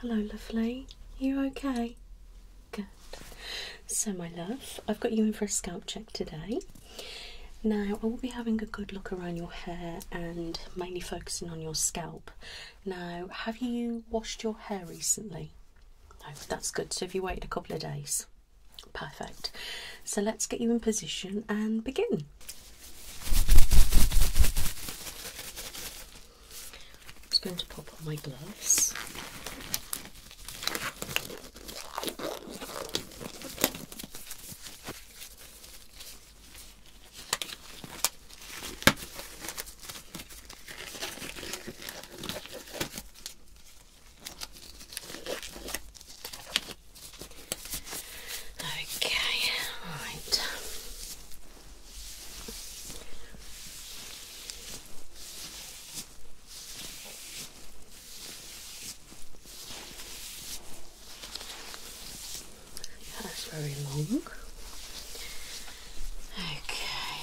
Hello, lovely. You okay? Good. So, my love, I've got you in for a scalp check today. Now, I will be having a good look around your hair and mainly focusing on your scalp. Now, have you washed your hair recently? No, that's good. So if you wait a couple of days, perfect. So let's get you in position and begin. I'm just going to pop on my gloves. Okay, all right. that's very long. Okay.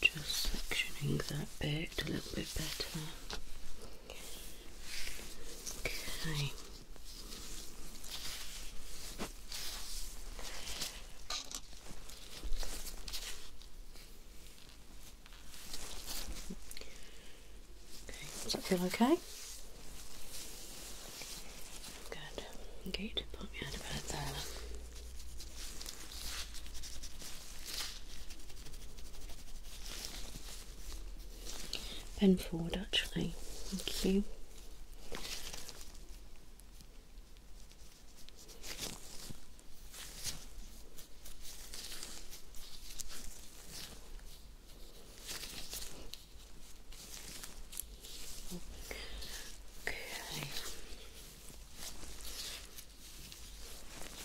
Just sectioning that bit a little bit better. Okay. Okay, does that feel okay? Good. Good. Put me on about that. Bend forward actually. Thank you. Okay.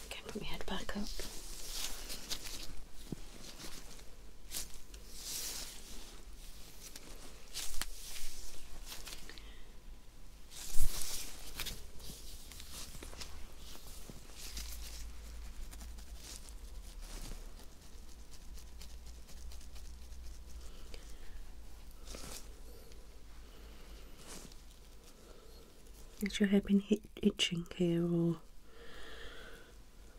Okay, put my head back up. Has your hair been itching here or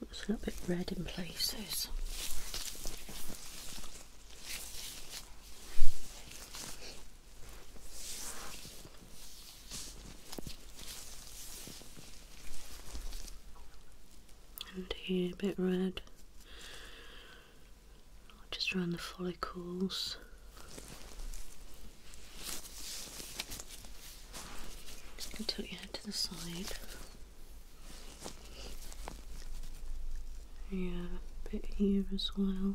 it's a little bit red in places? and here a bit red just around the follicles just you tilt your head to the side yeah a bit here as well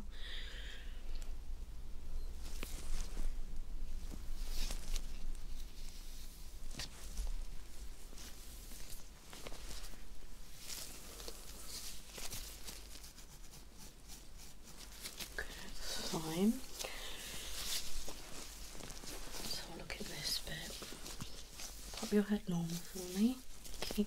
Okay, fine. So look at this bit. Pop your head normal for me. Okay.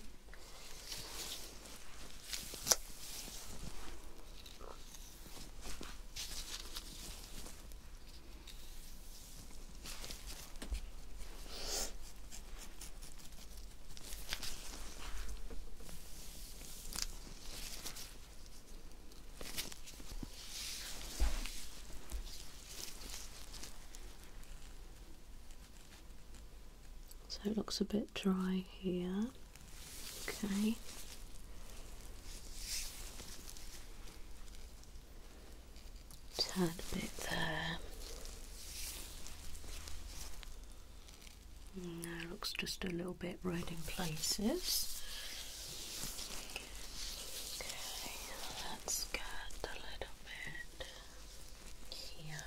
So it looks a bit dry here. Okay. Tad bit there. Now looks just a little bit red in places. Okay, let's get a little bit here.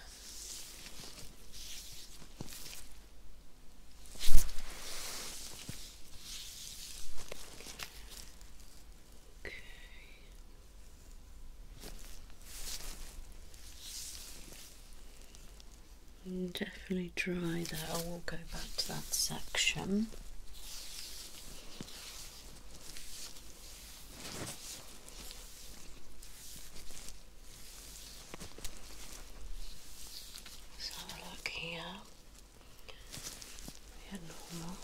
Mm, definitely dry there. I will go back to that section. let look here. Yeah, normal.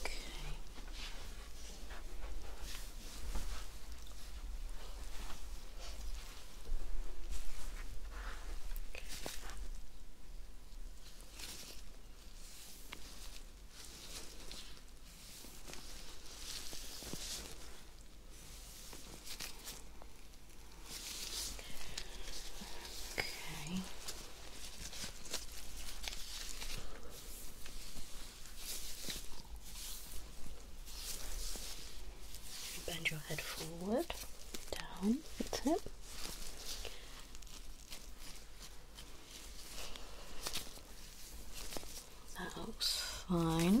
Okay. okay. Okay. Okay. Bend your head forward, down, that's it. That looks fine.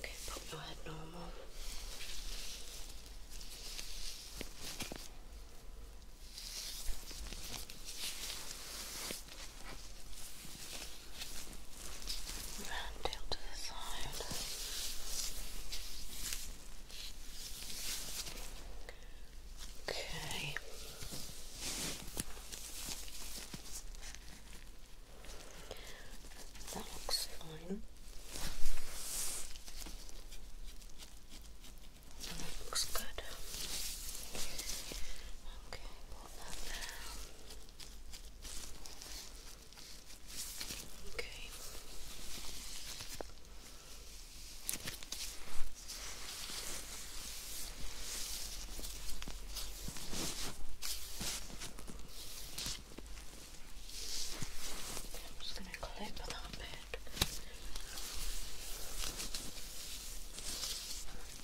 Okay, pop your head normal. Round tail to the side. Okay. That looks fine. That looks good. Okay, Okay. I'm just going to clip that bit.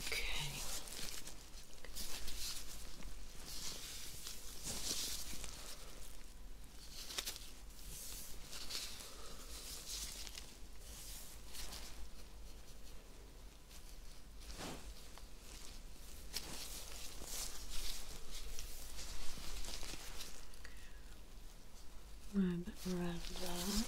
Okay. Okay. Rub around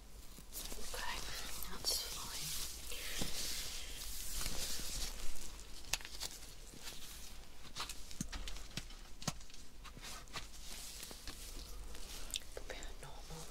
Okay, that's fine. Compare normal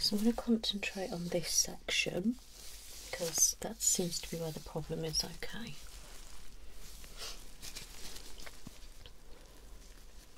so I'm going to concentrate on this section because that seems to be where the problem is. Okay.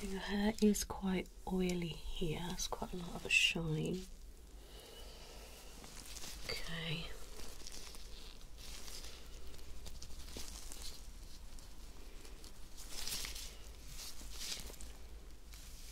So your hair is quite oily here, it's quite a lot of a shine. Okay.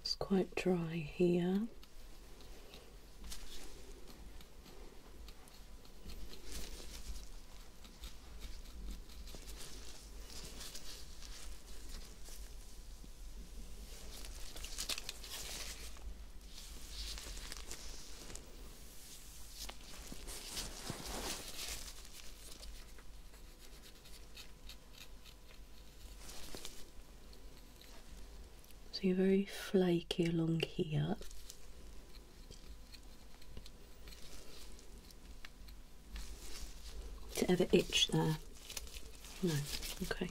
It's quite dry here. So you're very flaky along here. Does it ever itch there? No. Okay.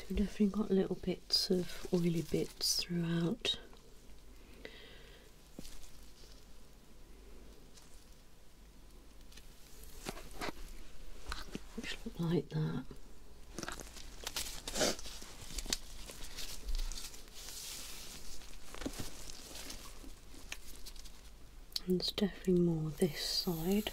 So we've definitely got little bits of oily bits throughout like that. And it's definitely more this side.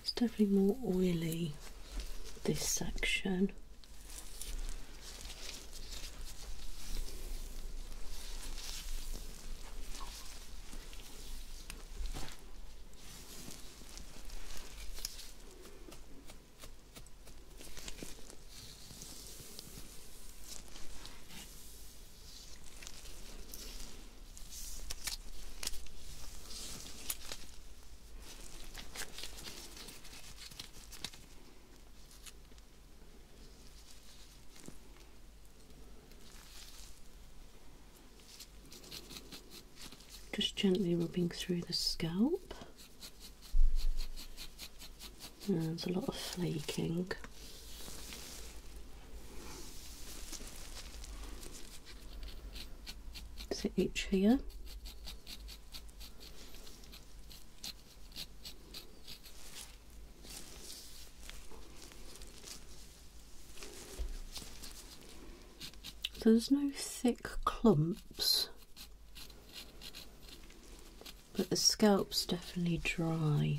It's definitely more oily this section. Just gently rubbing through the scalp. Uh, there's a lot of flaking so H here so there's no thick clumps but the scalp's definitely dry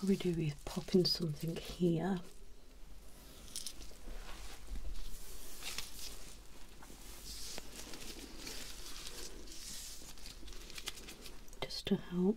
What we do is pop in something here just to help.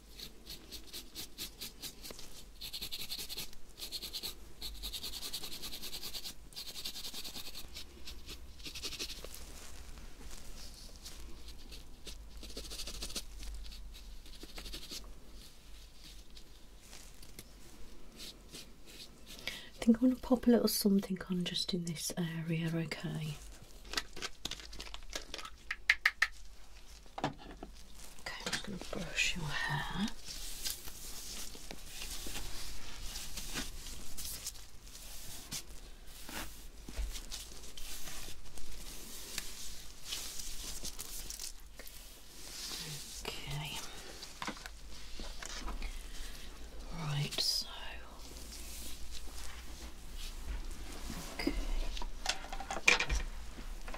I think I'm going to pop a little something on just in this area, okay? Okay, I'm just going to brush your hair. Okay. Right, so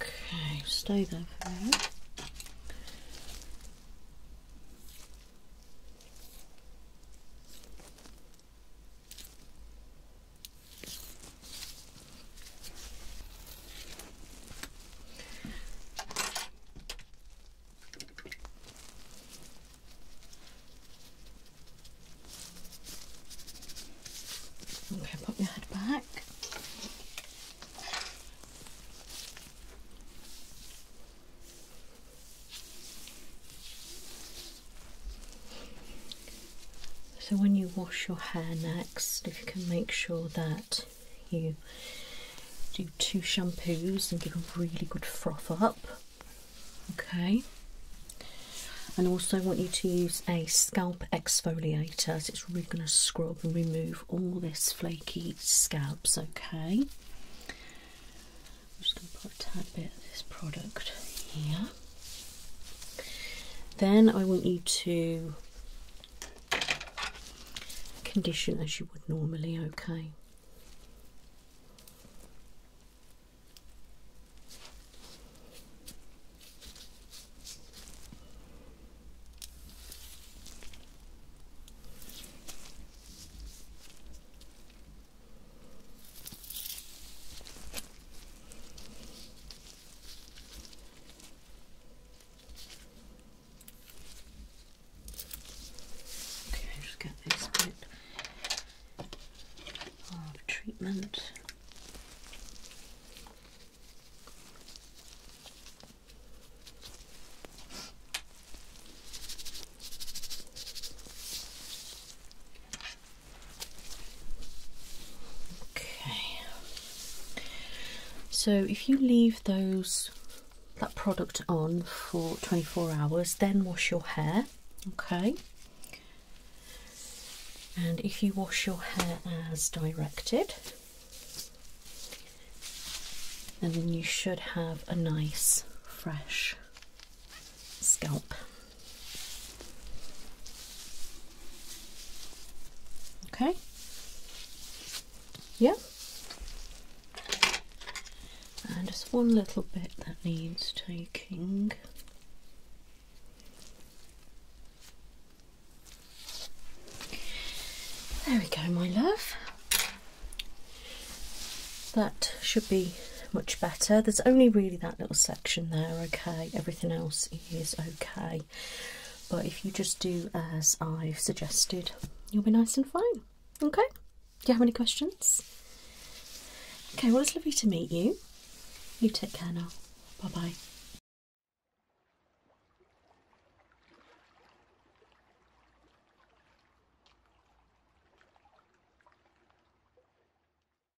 Okay, stay there for a Okay, Put your head back. So, when you wash your hair next, if you can make sure that you do two shampoos and give a really good froth up, okay. And also, I want you to use a scalp exfoliator so it's really going to scrub and remove all this flaky scabs, okay. I'm just going to put a tad bit of this product here. Then I want you to condition as you would normally, okay? Okay, just get this bit of treatment. Okay. So if you leave those that product on for 24 hours, then wash your hair. Okay. And if you wash your hair as directed, then you should have a nice fresh scalp. Okay. Yep. And just one little bit that needs taking. There we go, my love. That should be much better. There's only really that little section there, okay? Everything else is okay. But if you just do as I've suggested, you'll be nice and fine, okay? Do you have any questions? Okay, well, it's lovely to meet you. You take care now. Bye bye.